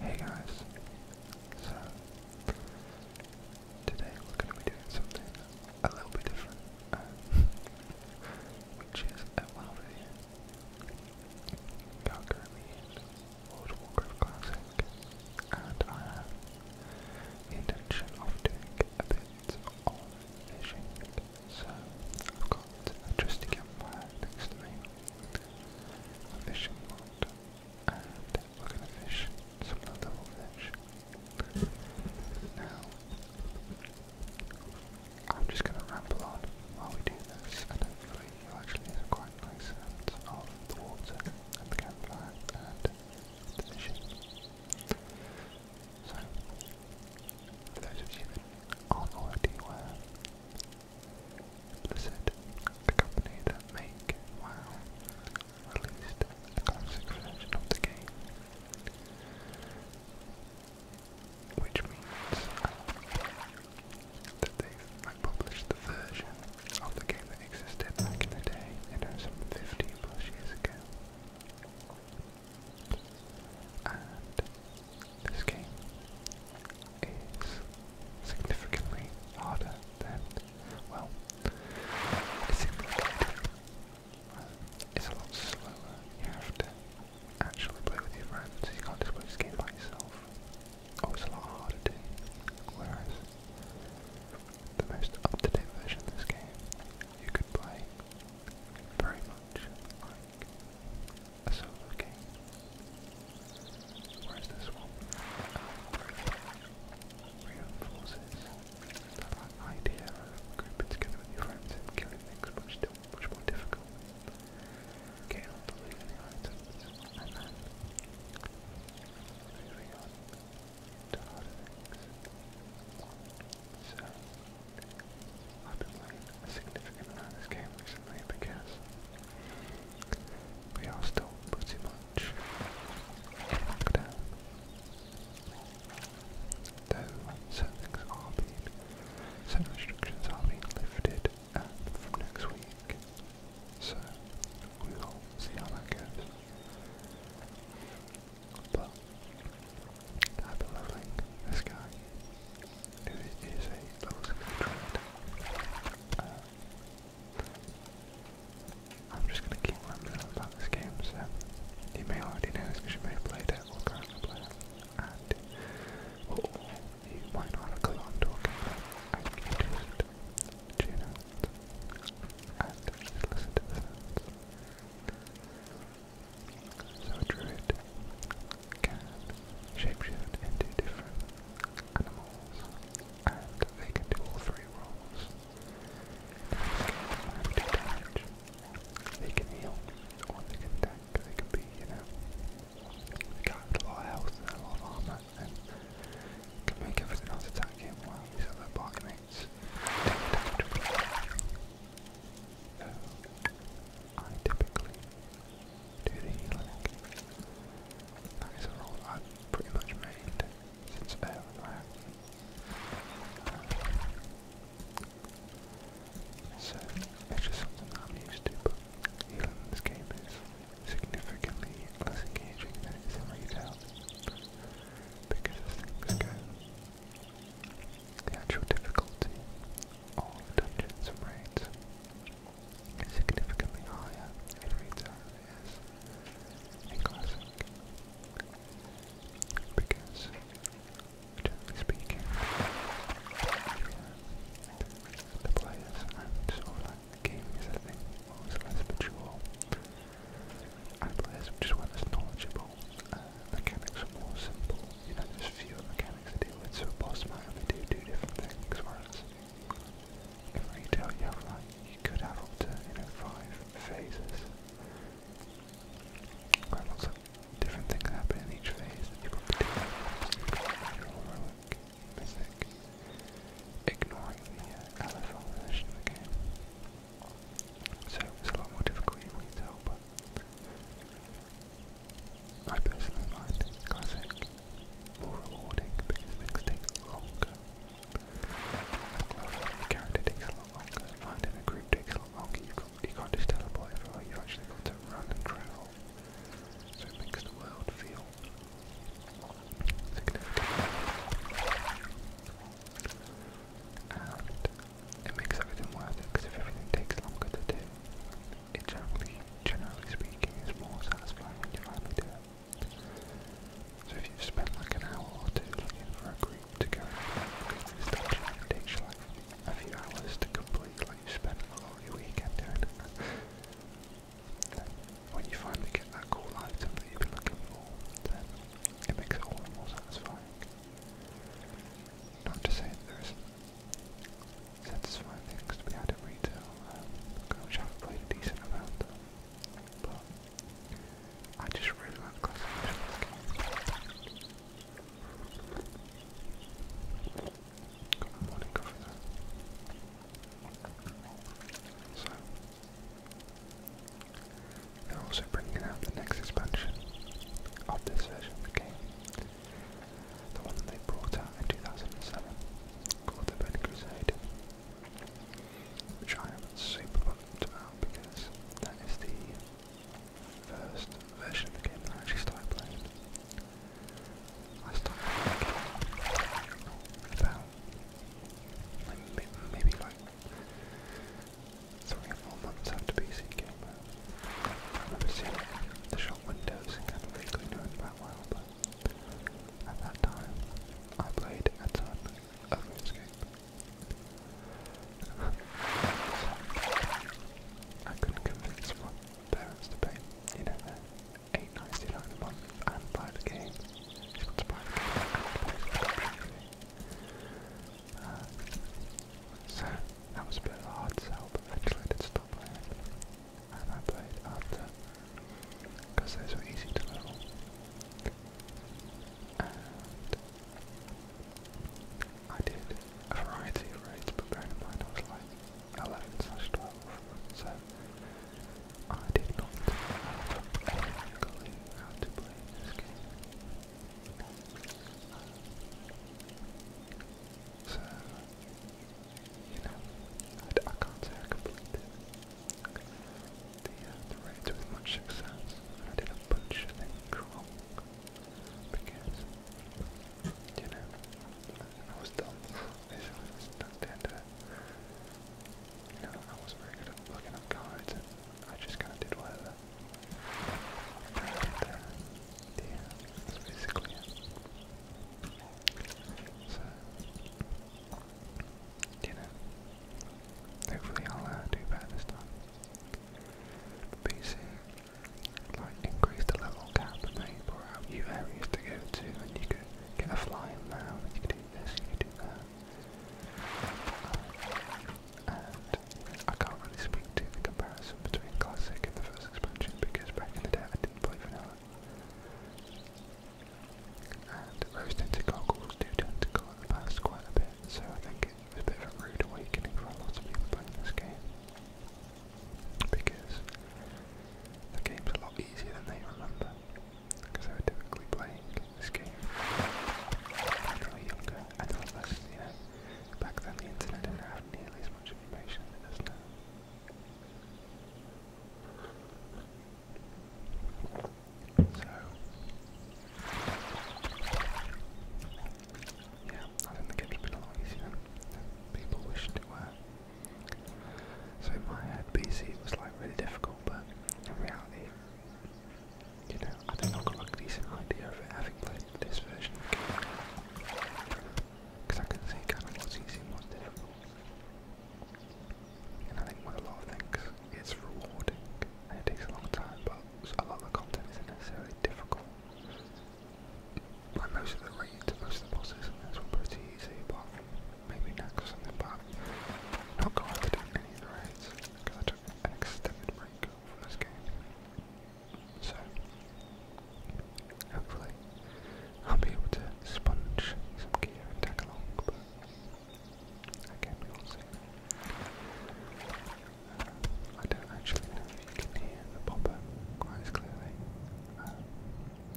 Hey guys, so today we're going to be doing something a little bit different, um, which is a WoW video. We are currently in World of Warcraft Classic, and I have the intention of doing a bit of fishing. So I've got a trusty campfire next to a fishing rod, and we're going to fish some of fish. Now, I'm just going to ramble on while we do this, and hopefully you actually quite nice sounds of the water and the campfire and the fishing. So, for those of you that aren't already aware, Lucid, the company that make WoW, released a classic version of the game, which means that they've like, the version of the game that existed back in the day, you some 15 plus years ago. This game is significantly harder than, well, it's significantly it's a lot slower. You have to actually play with your friends. You can't just play this game by yourself. Oh, it's a lot harder to do, Whereas the most up-to-date version of this game, you could play very much a solo game. Whereas this one, it reinforces that idea of grouping together your friends and killing much, more difficult. Getting the items, I've been playing a significant amount of this game recently because we are still pretty much down. Though certain things are being, certain restrictions are being lifted um, from next week. So we will see how that goes. But I've been this guy, who is a level 60 uh, I'm just going to keep rambling about this game, so you may already know this because you may have played it or currently play it, and oh, you might not have clue i talking tune out and listen to the so druid can shapeshift into different animals, and they can do all three roles. They can damage, they can heal, or they can tank, they can be, you know, they got a lot of health a lot of armor, and can make everything else attack him while other barkmates take I typically do the healing. That is a rule pretty much made since about So it's just something I'm used to, but healing in this game is significantly less engaging than it is in retail. Because the actual difficulty of Dungeons and Raids is significantly higher in Raids as in because, generally speaking, the players and sort of the gaming setting was less mature and players weren't as knowledgeable uh, the mechanics are more simple. You know, there's fewer mechanics to deal with, so a boss might only do two different things, whereas in retail you have like, you could have up to, you know, five phases. Quite lots of different things happen in each phase you probably do. Heroic, mythic, ignoring the uh, of the game. So it's a lot more difficult in retail, but I personally find classic more rewarding because things longer. I love the character takes longer, finding a group takes longer, you can't, you can't just teleport everywhere, you've actually got to run and travel. So it makes the world feel significant. And it makes everything worth it because if everything takes longer to do, it generally, generally speaking, is more satisfying when you finally do it. So if you've spent like an hour or two looking for a group to go and this takes you like a few hours to complete, like you spent a whole weekend doing when you finally get that cool item that you've been looking for, then it makes it all the more satisfying. Not to say that there satisfying things to be had at retail, um, which I've played a decent amount of, but I just really like classification game. Got morning coffee So, they're also bringing out the next expansion of this version of the game, the one that they brought out in 2007, called The Red Crusade, which I am super pumped about because that is the first version of the game I actually started playing. I started playing about maybe like three or four months after PC came out. I remember seeing the shop windows and kind of vaguely knowing about WoW, at that time I played a ton of RuneScape. I couldn't convince my parents to pay, you know, the and buy the game. Uh, so that was a bit of a hard sell, but eventually I did stop playing. And I played after, because those were easy to level. And I did a variety of raids, bearing in mind I was like 11 12, so I did not have how to play this game. So, you know, I, can't say I completed the, uh, the raid with much success. I did a bunch of things because, you know, I was dumb. Basically, that's the end You know, I was very good at looking up guides I just kind of did whatever. There, there, that's basically it. So, you know, hopefully I'll uh, do better this time. But you like, increase the level cap maybe pour out new areas to go to, and you could get a flying now, and you could do this, you could do that. I can't really speak to the comparison between Classic and the first expansion because back in the day I didn't play Vanilla. And those tinted goggles do tend to colour the past quite a bit, so I think it was a bit of a rude awakening for a lot of people playing this game. Because the game's a lot easier than they remember. Because they were typically playing this game when they younger and they less, Back then, the internet didn't have nearly as much information as now. So, yeah, I think the games have easier people wish to were. So in my head, PC was like really difficult, but in reality, you know, I think I've got a decent idea of it having played this version of the game. Because I can see kind of what's easy what's difficult. And I think with a lot of things, it's rewarding and it takes a long time, but a lot of the content isn't necessarily difficult. Like most of the raids, most of the bosses and this one pretty easy, apart from maybe next or something, but not going to do any of the raids because I took an extended break from this game. So, hopefully, I'll be able to sponge some gear and tag along, but again, we will see. Uh, I don't actually know if you can hear the popper quite as clearly. Um,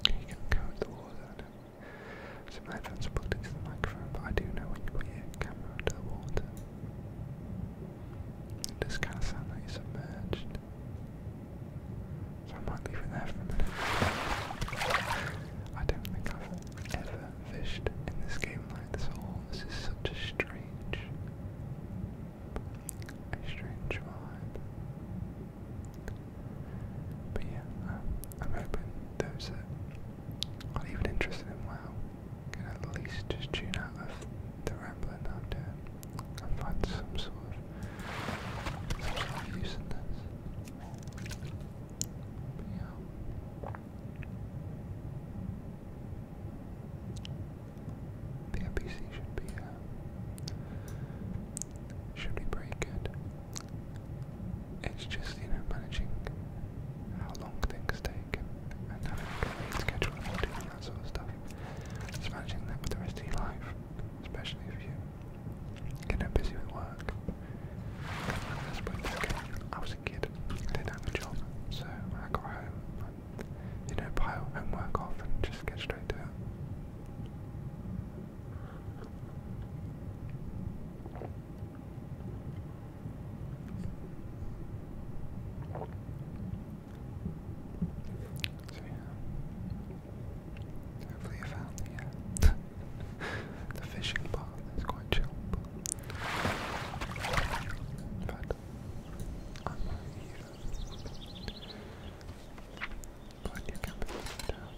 you can go at the wall, so my headphones are the microphone, but I do know when you put your camera under the water, it kind of sound like you're submerged. So I might leave it there for a minute. I don't think I've ever fished in this game like this all. This is such a strange, a strange vibe. But yeah, um, I'm hoping those that are even interested in WoW can at least just tune out of the rambling I'm doing and find some sort of, some sort of use in this. The NPC should be uh, should be pretty good. It's just you managing how long things take and having a complete that sort of stuff. It's managing that with the rest of your life, especially if you get up busy with work. I was a kid, I didn't have a job, so I got home and, you know, pile homework off and just get straight to it. Hopefully you found uh, the fishing part. It's quite chill. But, but unlike you, but you can down.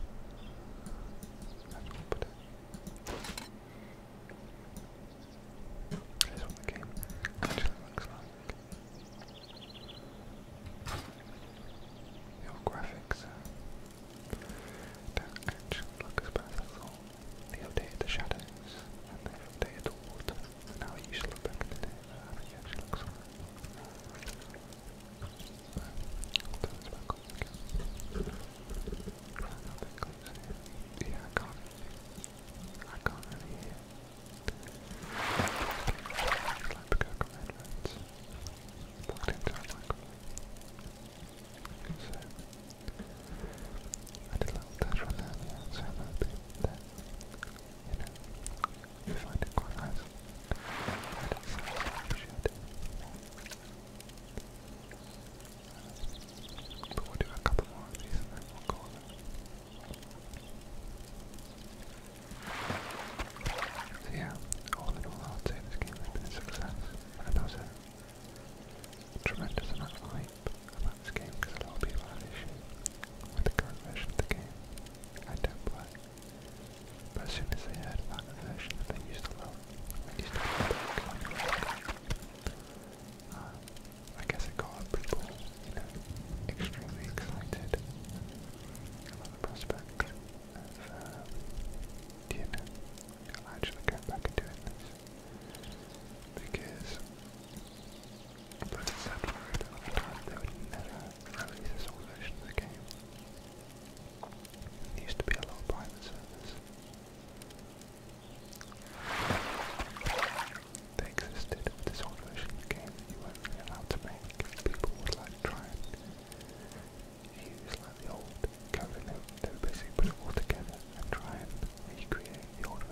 That's what the game actually looks like. Your graphics uh, actually look as bad as all. the shadows and they've the water. And now you back at the day, it actually looks alright. I'll turn Yeah, I can't. I can't really hear. Like the Cocoa Redlands. into a microphone. So, I did a little test run earlier, so I You know, you find it quite nice. I don't so appreciate it. But we'll do a couple more of these and then we'll call it. So yeah, all in all, I would say this game has been a success. And there was a tremendous amount of hype about this game because a lot of people had issues with the current version of the game. I don't play. But as soon as they heard about the version that they used to love, they used to love it um, I guess it got people, you extremely excited about the prospect of, uh, actually going back and doing Because, for a long time they would never release this old version the game. It used to be a lot of private servers. They existed this old game you weren't really allowed to make. People would like try and use like the old code and they would basically put it all together and try and recreate the old game.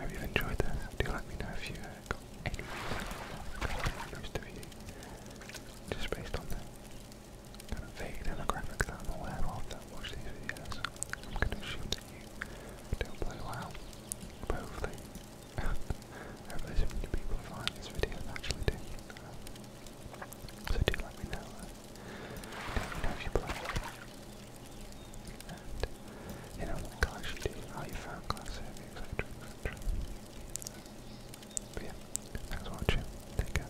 I you, uh, enjoyed this. Do let me know if you got any just based on the kind of vague demographic that I'm aware of that watch these videos. I'm going to assume that you do play well, hopefully Hopefully so many people are finding this video and uh, so do let me know. Uh, let me know if you play it. And you know what collection do how you found Class etc. etc. yeah, thanks for watching. Take care.